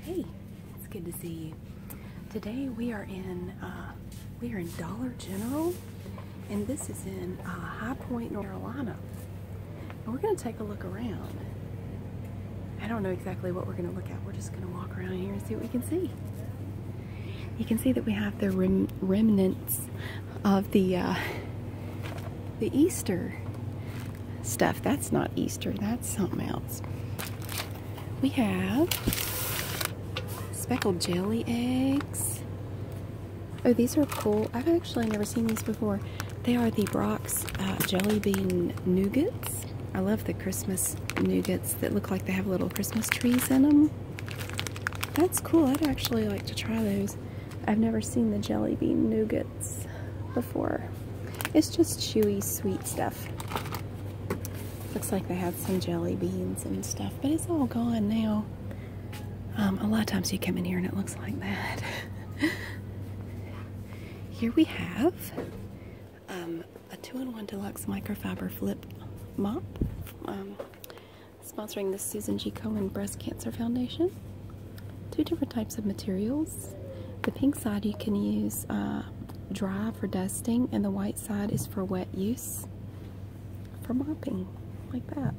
Hey, it's good to see you. Today we are in uh, we are in Dollar General, and this is in uh, High Point, North Carolina. we're going to take a look around. I don't know exactly what we're going to look at. We're just going to walk around here and see what we can see. You can see that we have the remnants of the uh, the Easter stuff. That's not Easter, that's something else. We have speckled jelly eggs. Oh, these are cool. I've actually never seen these before. They are the Brock's uh, Jelly Bean Nougats. I love the Christmas nougats that look like they have little Christmas trees in them. That's cool. I'd actually like to try those. I've never seen the jelly bean nougat before. It's just chewy, sweet stuff. Looks like they had some jelly beans and stuff, but it's all gone now. Um, a lot of times you come in here and it looks like that. here we have um, a two-in-one deluxe microfiber flip mop um, sponsoring the Susan G. Cohen Breast Cancer Foundation two different types of materials. The pink side you can use uh, dry for dusting, and the white side is for wet use for mopping, like that.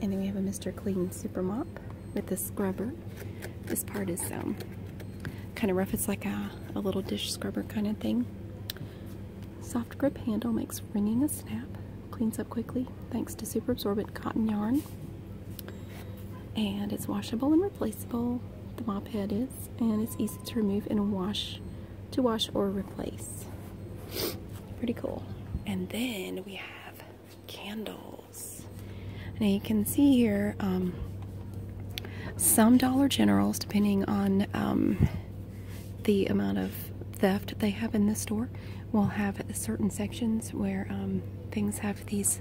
And then we have a Mr. Clean Super Mop with this scrubber. This part is um, kind of rough. It's like a, a little dish scrubber kind of thing. Soft grip handle makes wringing a snap. Cleans up quickly thanks to super absorbent cotton yarn. And it's washable and replaceable. The mop head is, and it's easy to remove and wash to wash or replace. Pretty cool. And then we have candles. Now you can see here um, some Dollar Generals, depending on um, the amount of theft they have in this store, we will have certain sections where um, things have these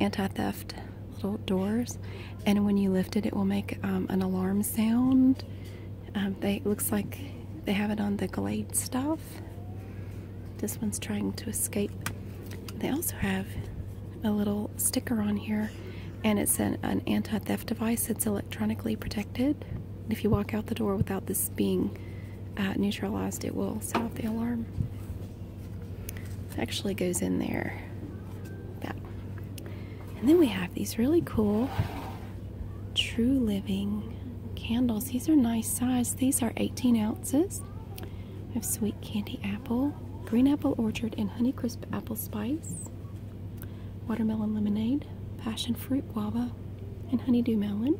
anti-theft little doors and when you lift it it will make um, an alarm sound um, they looks like they have it on the glade stuff this one's trying to escape they also have a little sticker on here and it's an anti-theft device it's electronically protected and if you walk out the door without this being uh, neutralized, it will set off the alarm. It actually goes in there. That. And then we have these really cool True Living candles. These are nice size. These are 18 ounces. of sweet candy apple, green apple orchard, and honey crisp apple spice, watermelon lemonade, passion fruit guava, and honeydew melon.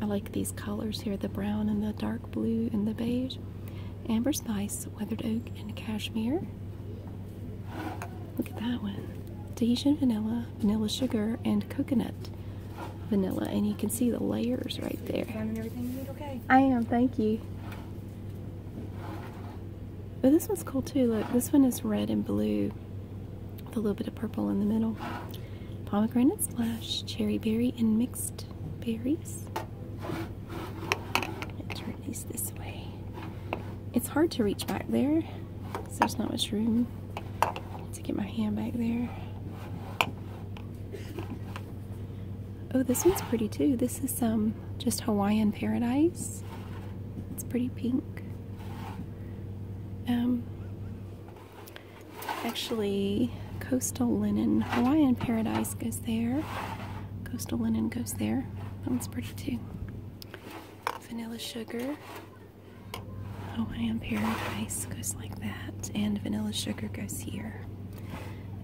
I like these colors here the brown and the dark blue and the beige. Amber Spice, Weathered Oak, and Cashmere. Look at that one. Tahitian vanilla, vanilla sugar, and coconut vanilla. And you can see the layers right there. I am, thank you. But this one's cool too. Look, this one is red and blue a little bit of purple in the middle. Pomegranate splash, cherry berry, and mixed berries. turn these this way. It's hard to reach back there so there's not much room to get my hand back there. Oh, this one's pretty too. This is some um, just Hawaiian Paradise. It's pretty pink. Um, actually, Coastal Linen Hawaiian Paradise goes there. Coastal Linen goes there. That one's pretty too. Vanilla Sugar. Oh, Hawaiian Paradise goes like that. And Vanilla Sugar goes here.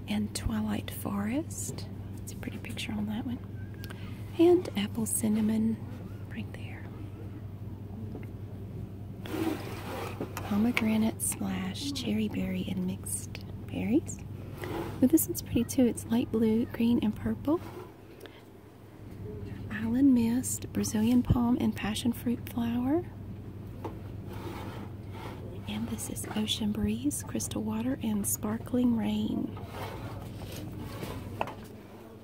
And Twilight Forest. It's a pretty picture on that one. And Apple Cinnamon right there. Pomegranate splash, cherry berry, and mixed berries. this one's pretty too. It's light blue, green, and purple. Island mist, Brazilian palm, and passion fruit flower. And this is ocean breeze, crystal water, and sparkling rain.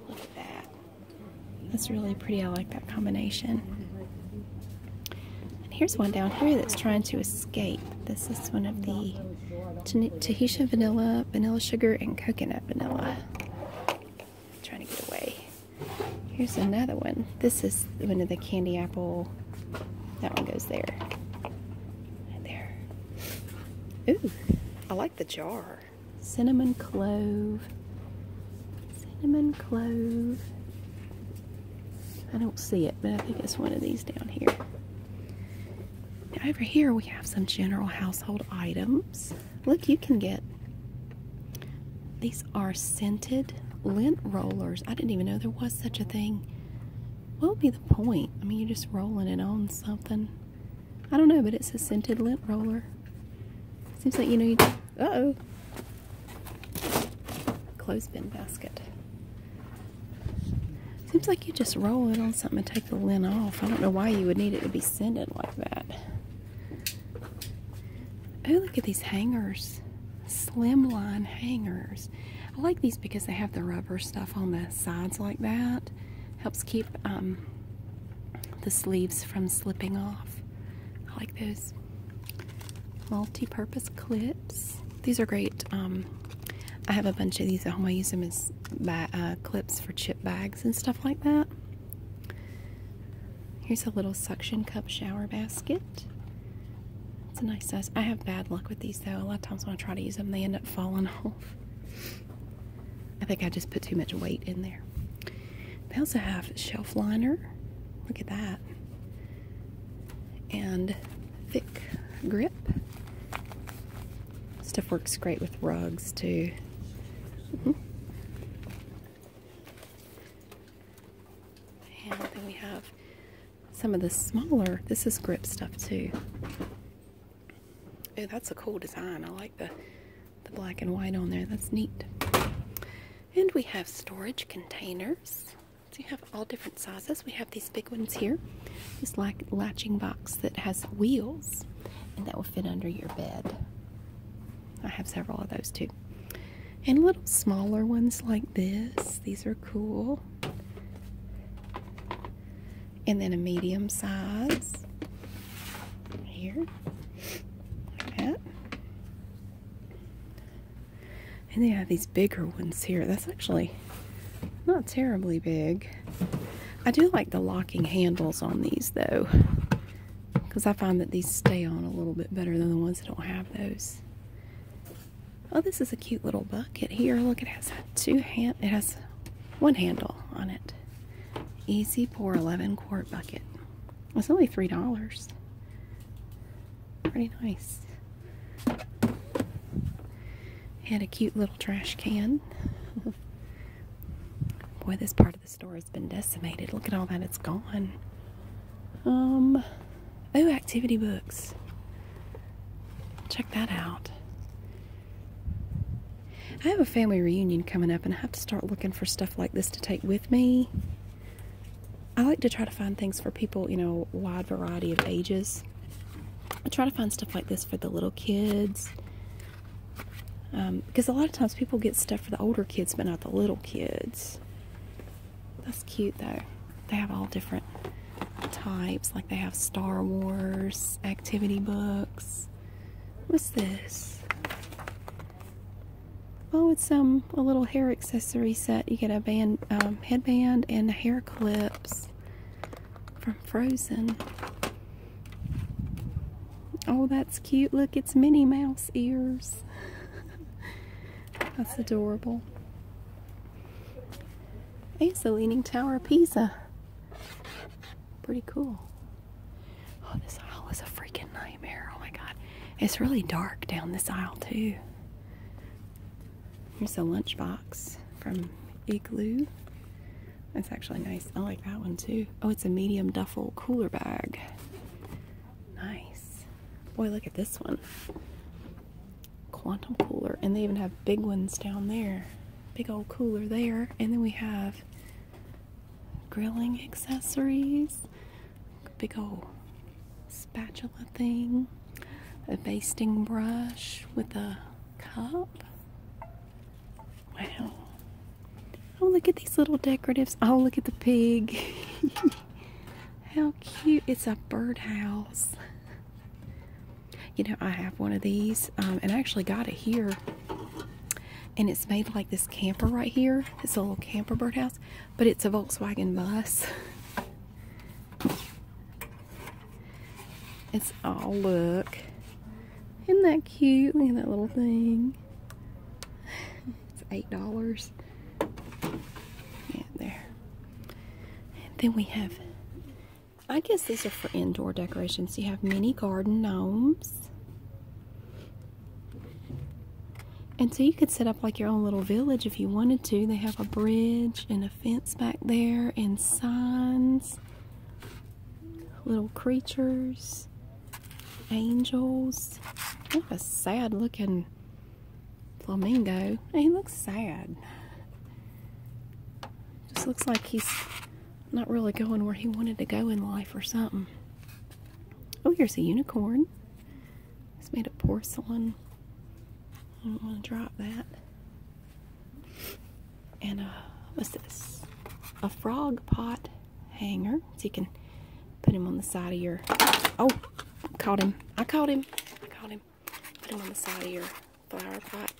Look at that. That's really pretty. I like that combination. And here's one down here that's trying to escape. This is one of the Tahitian vanilla, vanilla sugar, and coconut vanilla. trying to get away. Here's another one. This is one of the candy apple. That one goes there. there. Ooh, I like the jar. Cinnamon clove. Cinnamon clove. I don't see it, but I think it's one of these down here. over here we have some general household items. Look, you can get these are scented lint rollers. I didn't even know there was such a thing. What would be the point? I mean, you're just rolling it on something. I don't know, but it's a scented lint roller. Seems like, you know, you... Uh-oh. Clothespin basket. Seems like you just roll it on something and take the lint off. I don't know why you would need it to be scented like that. Oh, look at these hangers. Slimline hangers. I like these because they have the rubber stuff on the sides like that. Helps keep um, the sleeves from slipping off. I like those multi-purpose clips. These are great. Um, I have a bunch of these at home. I use them as uh, clips for chip bags and stuff like that. Here's a little suction cup shower basket. It's a nice size. I have bad luck with these though. A lot of times when I try to use them, they end up falling off. I think I just put too much weight in there. They also have shelf liner. Look at that. And thick grip. Stuff works great with rugs too. Mm-hmm. And then we have some of the smaller, this is grip stuff too. Oh, that's a cool design. I like the, the black and white on there. That's neat. And we have storage containers. So you have all different sizes. We have these big ones here. This like latching box that has wheels and that will fit under your bed. I have several of those too. And little smaller ones like this. These are cool and then a medium size here and they have these bigger ones here that's actually not terribly big I do like the locking handles on these though because I find that these stay on a little bit better than the ones that don't have those oh this is a cute little bucket here look it has two hand it has one handle on it Easy Pour 11 quart bucket. It's only $3. Pretty nice. Had a cute little trash can. Boy, this part of the store has been decimated. Look at all that, it's gone. Um, oh, activity books. Check that out. I have a family reunion coming up, and I have to start looking for stuff like this to take with me. I like to try to find things for people, you know, wide variety of ages. I try to find stuff like this for the little kids. because um, a lot of times people get stuff for the older kids, but not the little kids. That's cute, though. They have all different types. Like, they have Star Wars activity books. What's this? Oh, it's um a little hair accessory set. You get a band, um, headband, and hair clips from Frozen. Oh, that's cute. Look, it's Minnie Mouse ears. that's adorable. It's the Leaning Tower of Pisa. Pretty cool. Oh, this aisle is a freaking nightmare. Oh my god. It's really dark down this aisle, too. Here's a lunchbox from Igloo. That's actually nice. I like that one, too. Oh, it's a medium duffel cooler bag. Nice. Boy, look at this one. Quantum cooler. And they even have big ones down there big old cooler there. And then we have grilling accessories, big old spatula thing, a basting brush with a cup. Wow. Oh, look at these little decoratives. Oh, look at the pig. How cute. It's a birdhouse you know, I have one of these, um, and I actually got it here. And it's made like this camper right here. It's a little camper birdhouse, but it's a Volkswagen bus. It's all look. Isn't that cute? Look at that little thing. It's eight dollars. Yeah, there. And then we have I guess these are for indoor decorations. You have mini garden gnomes. And so you could set up like your own little village if you wanted to. They have a bridge and a fence back there and signs, little creatures, angels. What a sad looking flamingo. He looks sad. Just looks like he's not really going where he wanted to go in life or something. Oh, here's a unicorn. It's made of porcelain. I don't want to drop that. And a uh, what's this? A frog pot hanger. So you can put him on the side of your. Oh, caught him! I caught him! I caught him! Put him on the side of your flower pot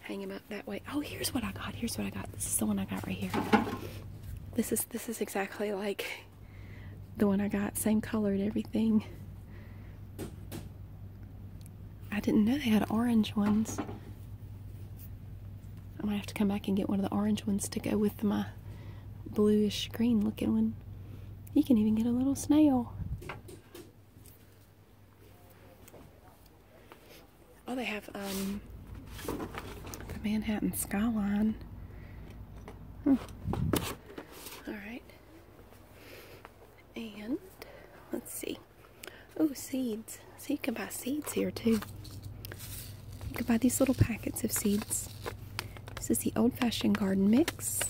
hang him up that way. Oh, here's what I got. Here's what I got. This is the one I got right here. This is this is exactly like the one I got. Same color and everything. I didn't know they had orange ones. I might have to come back and get one of the orange ones to go with my bluish green looking one. You can even get a little snail. Oh, they have um, the Manhattan skyline. Hmm. All right. And let's see. Oh, seeds. So you can buy seeds here too. You can buy these little packets of seeds. This is the old fashioned garden mix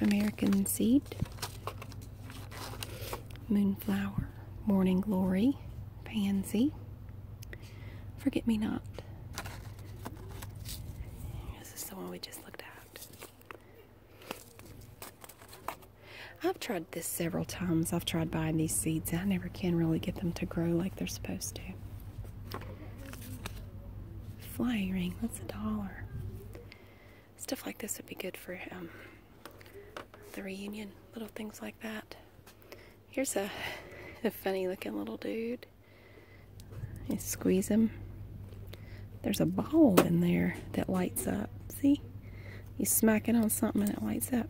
of American seed moonflower, morning glory, pansy, forget me not. This is the one we just looked at. I've tried this several times. I've tried buying these seeds. I never can really get them to grow like they're supposed to. Flying ring, that's a dollar stuff like this would be good for the reunion, little things like that. Here's a, a funny looking little dude. You squeeze him. There's a ball in there that lights up. See? You smack it on something and it lights up.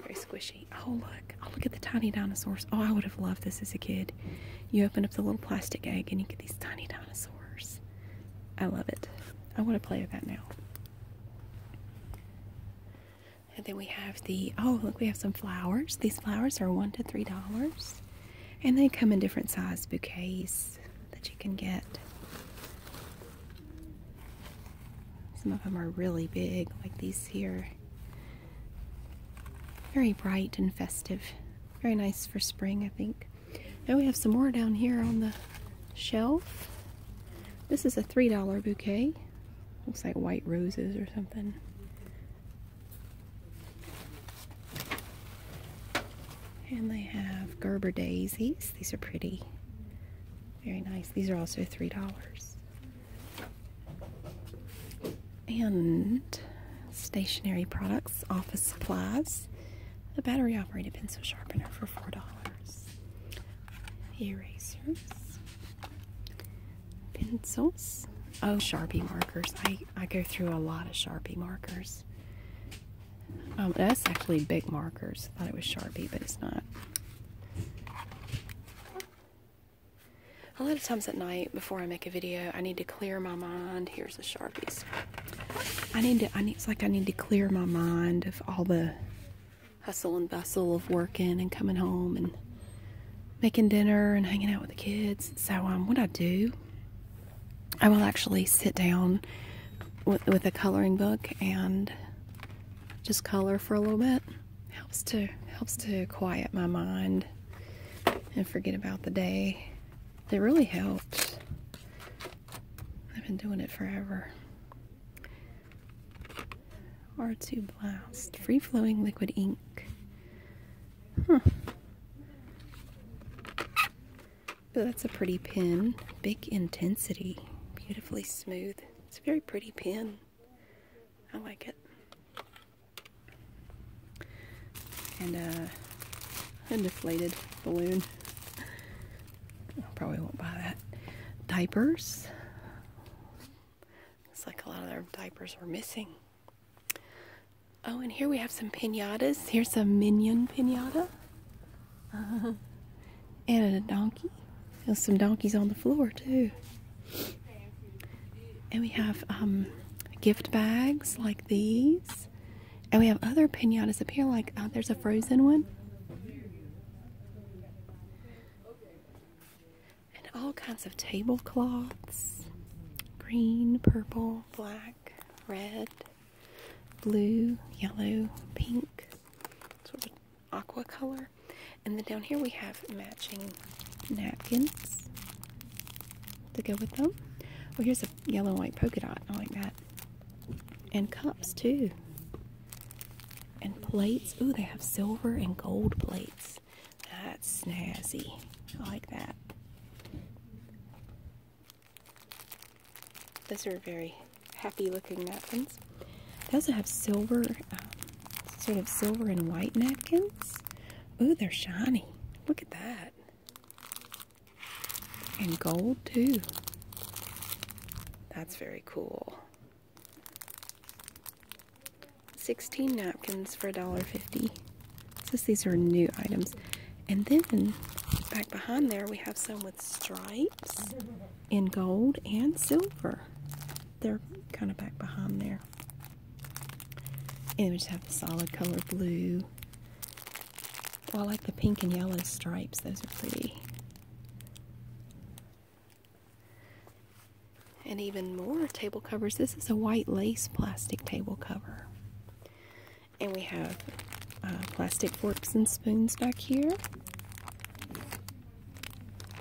Very squishy. Oh, look. Oh, look at the tiny dinosaurs. Oh, I would have loved this as a kid. You open up the little plastic egg and you get these tiny dinosaurs. I love it. I want to play with that now. And then we have the oh look we have some flowers. These flowers are one to three dollars. And they come in different size bouquets that you can get. Some of them are really big, like these here. Very bright and festive. Very nice for spring, I think. Now we have some more down here on the shelf. This is a $3 bouquet. Looks like white roses or something. And they have Gerber daisies. These are pretty. Very nice. These are also $3. And stationery products, office supplies a battery operated pencil sharpener for $4. Erasers, pencils, oh, Sharpie markers. I, I go through a lot of Sharpie markers. Um, that's actually big markers. thought it was Sharpie, but it's not. A lot of times at night before I make a video, I need to clear my mind. Here's the Sharpies. I need to, I need, it's like I need to clear my mind of all the hustle and bustle of working and coming home and making dinner and hanging out with the kids. So, um, what I do, I will actually sit down with, with a coloring book and just color for a little bit. Helps to, helps to quiet my mind and forget about the day. It really helps. I've been doing it forever. R2 Blast. Free flowing liquid ink. Huh. That's a pretty pen. Big intensity. Beautifully smooth. It's a very pretty pen. I like it and uh, a deflated balloon. I probably won't buy that. Diapers. Looks like a lot of their diapers are missing. Oh, and here we have some pinatas. Here's a minion pinata. and a donkey. There's some donkeys on the floor, too. And we have um, gift bags like these. And we have other pinatas up here, like uh, there's a frozen one. And all kinds of tablecloths green, purple, black, red, blue, yellow, pink, sort of aqua color. And then down here we have matching napkins to go with them. Oh, here's a yellow and white polka dot. I like that. And cups too. And plates. Ooh, they have silver and gold plates. That's snazzy. I like that. Those are very happy looking napkins. They also have silver, um, sort of silver and white napkins. Ooh, they're shiny. Look at that. And gold too. That's very cool. 16 napkins for $1.50. Since these are new items. And then back behind there we have some with stripes in gold and silver. They're kind of back behind there. And we just have the solid color blue I like the pink and yellow stripes, those are pretty. And even more table covers. This is a white lace plastic table cover. And we have uh, plastic forks and spoons back here.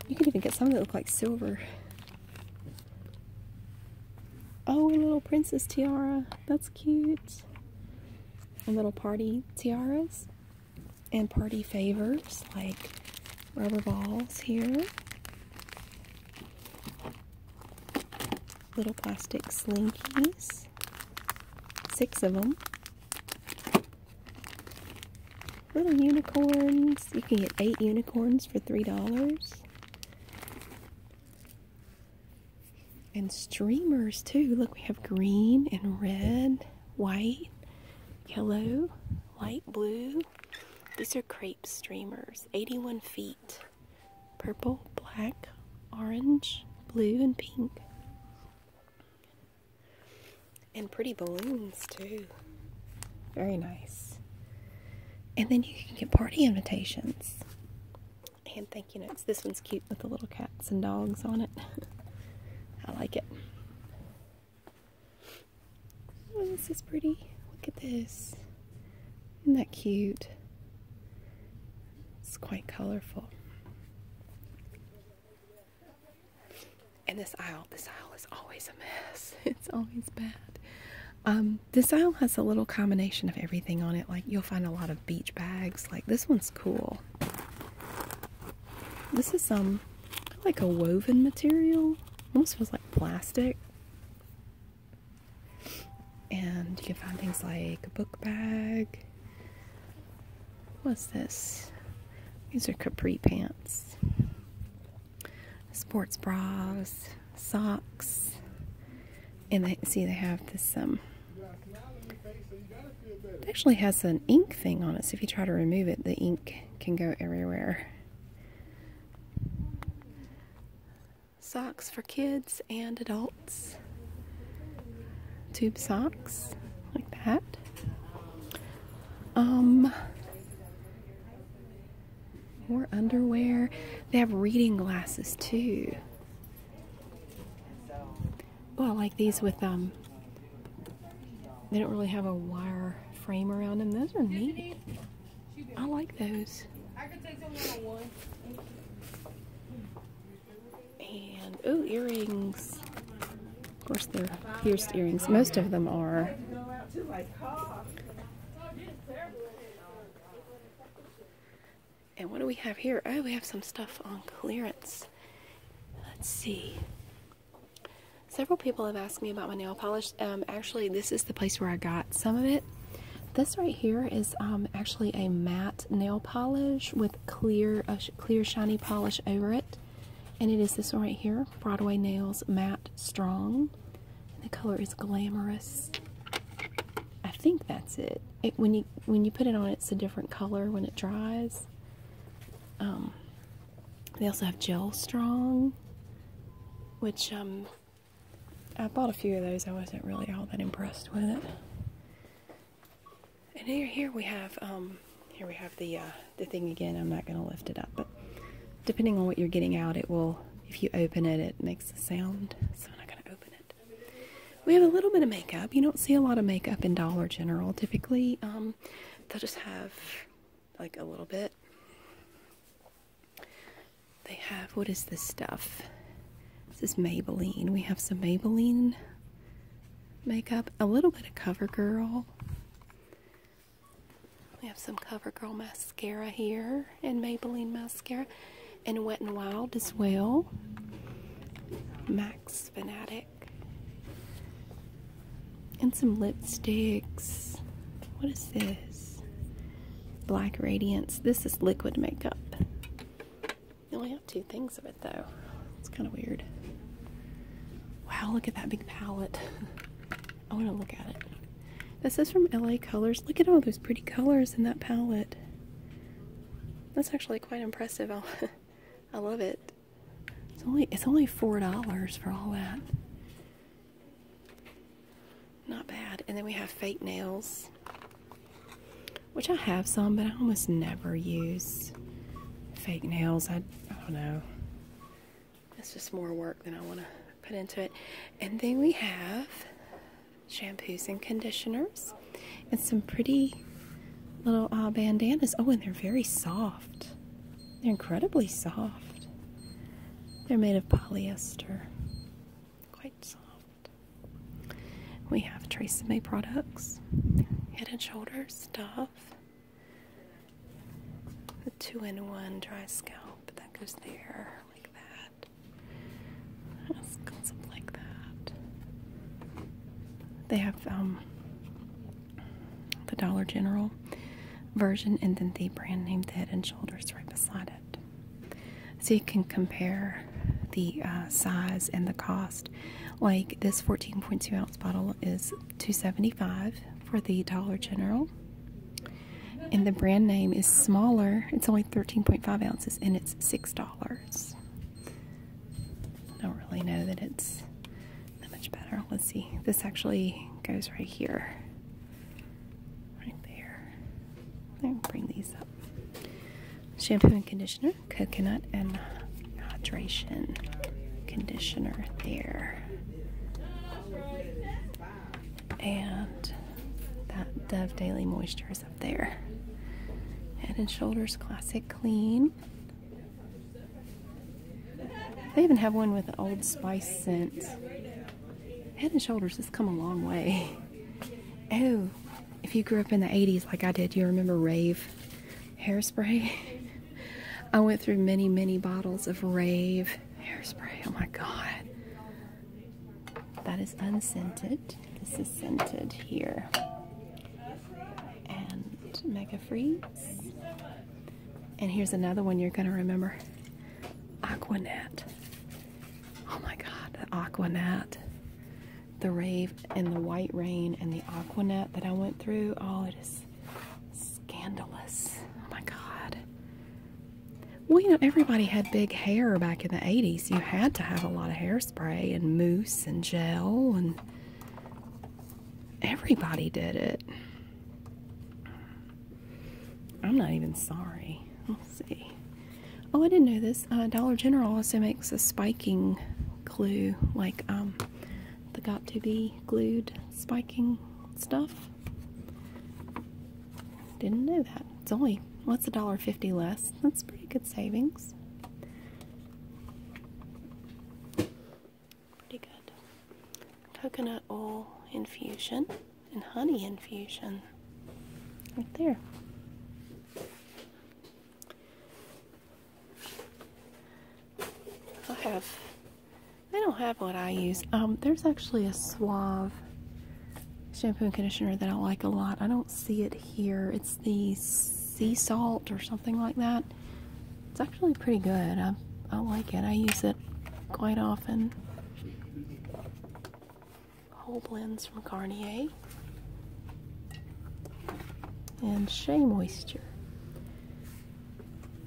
You can even get some that look like silver. Oh, little princess tiara. That's cute. little party tiaras and party favors like rubber balls here. Little plastic slinkies. Six of them. Little unicorns. You can get eight unicorns for $3 and streamers too. Look, we have green and red, white, yellow, light blue. These are crepe streamers, 81 feet. Purple, black, orange, blue, and pink. And pretty balloons too. Very nice. And then you can get party invitations hand thank you notes. This one's cute with the little cats and dogs on it. I like it. Oh, this is pretty. Look at this. Isn't that cute? It's quite colorful. And this aisle, this aisle is always a mess. It's always bad. Um, this aisle has a little combination of everything on it. Like you'll find a lot of beach bags. Like this one's cool. This is some um, like a woven material. Almost feels like plastic. And you can find things like a book bag. What's this? These are capri pants. Sports bras socks. And see they have this um it actually has an ink thing on it, so if you try to remove it, the ink can go everywhere. Socks for kids and adults. Tube socks like that. Um more underwear. They have reading glasses too. Well, I like these with um. They don't really have a wire frame around them. Those are neat. I like those. And oh, earrings. Of course, they're pierced earrings. Most of them are. And what do we have here? Oh, we have some stuff on clearance. Let's see. Several people have asked me about my nail polish. Um, actually, this is the place where I got some of it. This right here is um, actually a matte nail polish with clear, clear shiny polish over it. And it is this right here, Broadway Nails Matte Strong. the color is Glamorous. I think that's it. when you when you put it on, it's a different color when it dries. Um, they also have Gel Strong, which um, I bought a few of those. I wasn't really all that impressed with it. And here, here we have um, here we have the uh, the thing again. I'm not going to lift it up, but depending on what you're getting out, it will. If you open it, it makes a sound. So I'm not going to we have a little bit of makeup. You don't see a lot of makeup in Dollar General. Typically, um, they'll just have like a little bit. They have, what is this stuff? This is Maybelline. We have some Maybelline makeup, a little bit of CoverGirl. We have some CoverGirl mascara mascara here and Maybelline mascara and Wet n Wild as well. Max Fanatic. And some lipsticks. What is this? Black Radiance. This is liquid makeup. I only have two things of it though. It's kind of weird. Wow, look at that big palette. I want to look at it. This is from LA Colors. Look at all those pretty colors in that palette. That's actually quite impressive. i I love it. It's only it's only four dollars for all that. Not bad. And then we have fake nails, which I have some, but I almost never use fake nails. I, I don't know. It's just more work than I want to put into it. And then we have shampoos and conditioners, and some pretty little uh, bandanas. Oh, and they're very soft. They're incredibly soft. They're made of polyester. Quite soft. We have Trace May products, Head and Shoulder stuff, the two in one dry scalp that goes there like that red. Concept like that. They have um, the Dollar General version and then the brand name the Head and Shoulders right beside it. So you can compare the uh, size and the cost. Like this 14.2 ounce bottle is 275 for the Dollar General and the brand name is smaller. It's only 13.5 ounces and it's $6. I don't really know that it's that much better. Let's see. This actually goes right here. Right there. I'll bring these up. Shampoo and conditioner, coconut and hydration conditioner there and that Dove Daily Moisture is up there. Head and Shoulders Classic Clean. They even have one with an Old Spice scent. Head and Shoulders has come a long way. Oh, if you grew up in the 80s like I did, you remember Rave hairspray. I went through many, many bottles of Rave hairspray. Oh my God. That is unscented. This is scented here. And Mega Freeze. And here's another one you're going to remember Aquanet. Oh my god, the Aquanet. The rave and the white rain and the Aquanet that I went through. Oh, it is scandalous. Oh my god. Well, you know, everybody had big hair back in the 80s. You had to have a lot of hairspray and mousse and gel, and everybody did it. I'm not even sorry. Let's see. Oh, I didn't know this. Uh, Dollar General also makes a spiking glue, like um, the got to be glued spiking stuff. Didn't know that. It's only what's a dollar fifty less? That's pretty good savings. Pretty good. Coconut oil infusion and honey infusion. Right there. I have. They don't have what I use. Um, there's actually a Suave shampoo and conditioner that I like a lot. I don't see it here. It's the sea salt or something like that. It's actually pretty good. I, I like it. I use it quite often. Whole blends from Garnier. And Shea Moisture.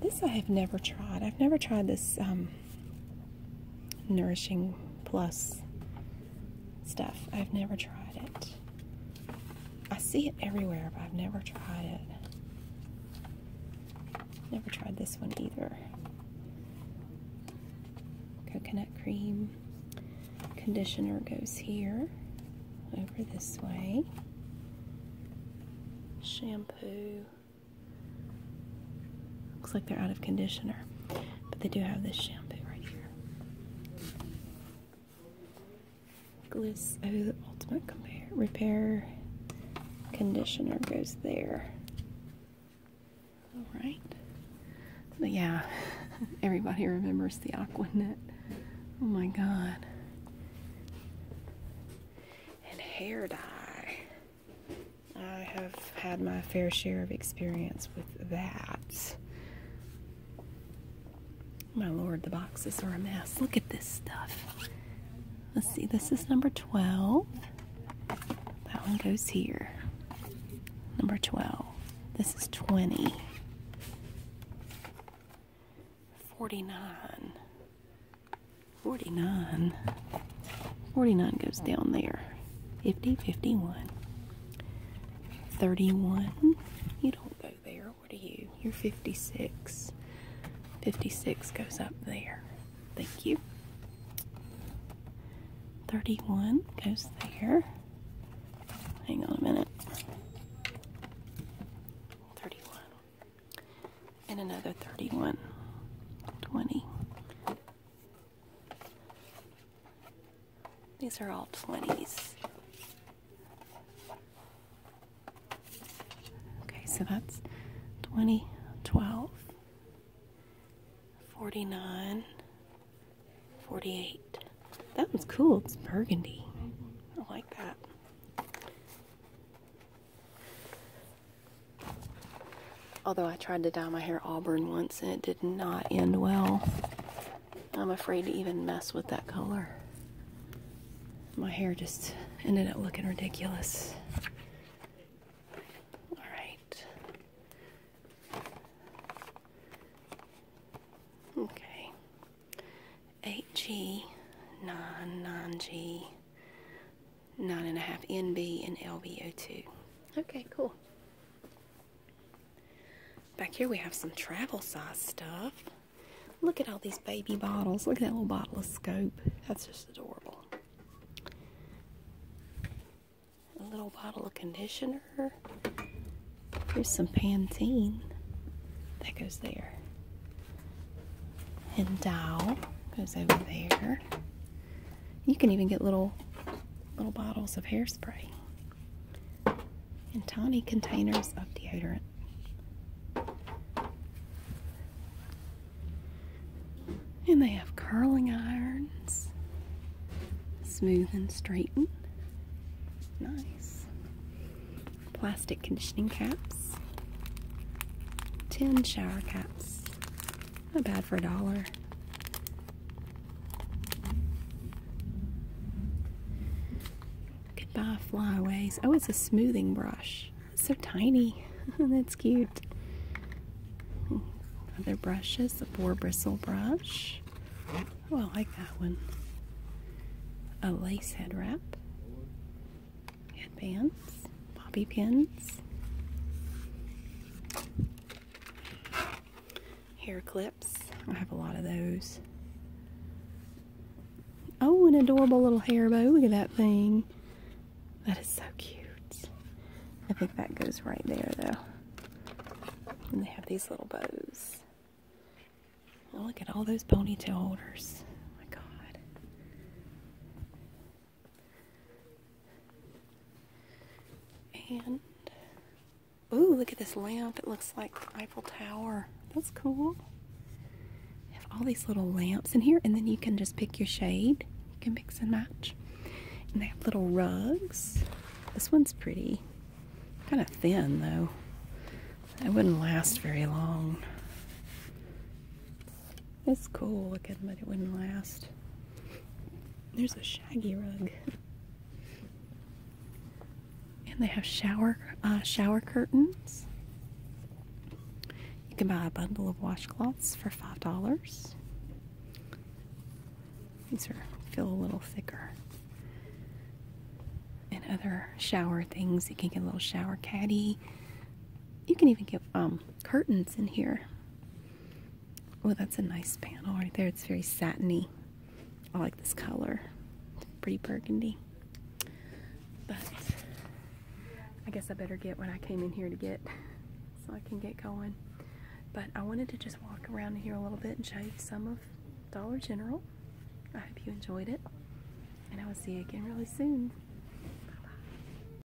This I have never tried. I've never tried this um, Nourishing Plus stuff. I've never tried it. I see it everywhere, but I've never tried it. Never tried this one either. Coconut cream conditioner goes here, over this way. Shampoo. Looks like they're out of conditioner, but they do have this shampoo right here. Gliss O Ultimate Repair Conditioner goes there. All right. But yeah, everybody remembers the Aquanet. Oh my god. And hair dye. I have had my fair share of experience with that. My lord, the boxes are a mess. Look at this stuff. Let's see, this is number 12. That one goes here. Number 12. This is 20. 49. 49. 49 goes down there. 50, 51. 31. You don't go there. What are you? You're 56. 56 goes up there. Thank you. 31 goes there. Hang on a minute. 31. And another 31. 20. These are all 20s. Okay, so that's 20, 12, 49, 48. That one's cool. It's burgundy. I like that. Although I tried to dye my hair auburn once and it did not end well. I'm afraid to even mess with that color. My hair just ended up looking ridiculous. All right. Okay. 8 9, 9G, nine and a half NB and LBO2. Okay, cool. Back here we have some travel size stuff. Look at all these baby bottles. Look at that little bottle of scope. That's just adorable. A little bottle of conditioner. Here's some Pantene. That goes there. And Dow goes over there. You can even get little little bottles of hairspray and tiny containers of deodorant. And they have curling irons, smooth and straighten. Nice. Plastic conditioning caps, tin shower caps, not bad for a dollar. Goodbye buy flyaways. Oh, it's a smoothing brush. so tiny. That's cute. Other brushes, a 4 bristle brush. Oh, I like that one. A lace head wrap headbands, bobby pins, hair clips. I have a lot of those. Oh, an adorable little hair bow. Look at that thing. That is so cute. I think that goes right there, though. And they have these little bows. Oh, look at all those ponytail holders. my God. And, ooh, look at this lamp. It looks like the Eiffel Tower. That's cool. You have all these little lamps in here, and then you can just pick your shade. You can mix and match. And they have little rugs. This one's pretty. Kind of thin, though. It wouldn't last very long. It's cool looking, but it wouldn't last. There's a shaggy rug. And they have shower uh, shower curtains. You can buy a bundle of washcloths for five dollars. These are feel a little thicker. And other shower things. You can get a little shower caddy. You can even get um, curtains in here. Well, oh, that's a nice panel right there. It's very satiny. I like this color. pretty burgundy. But I guess I better get what I came in here to get so I can get going. But I wanted to just walk around here a little bit and show you some of Dollar General. I hope you enjoyed it. And I will see you again really soon.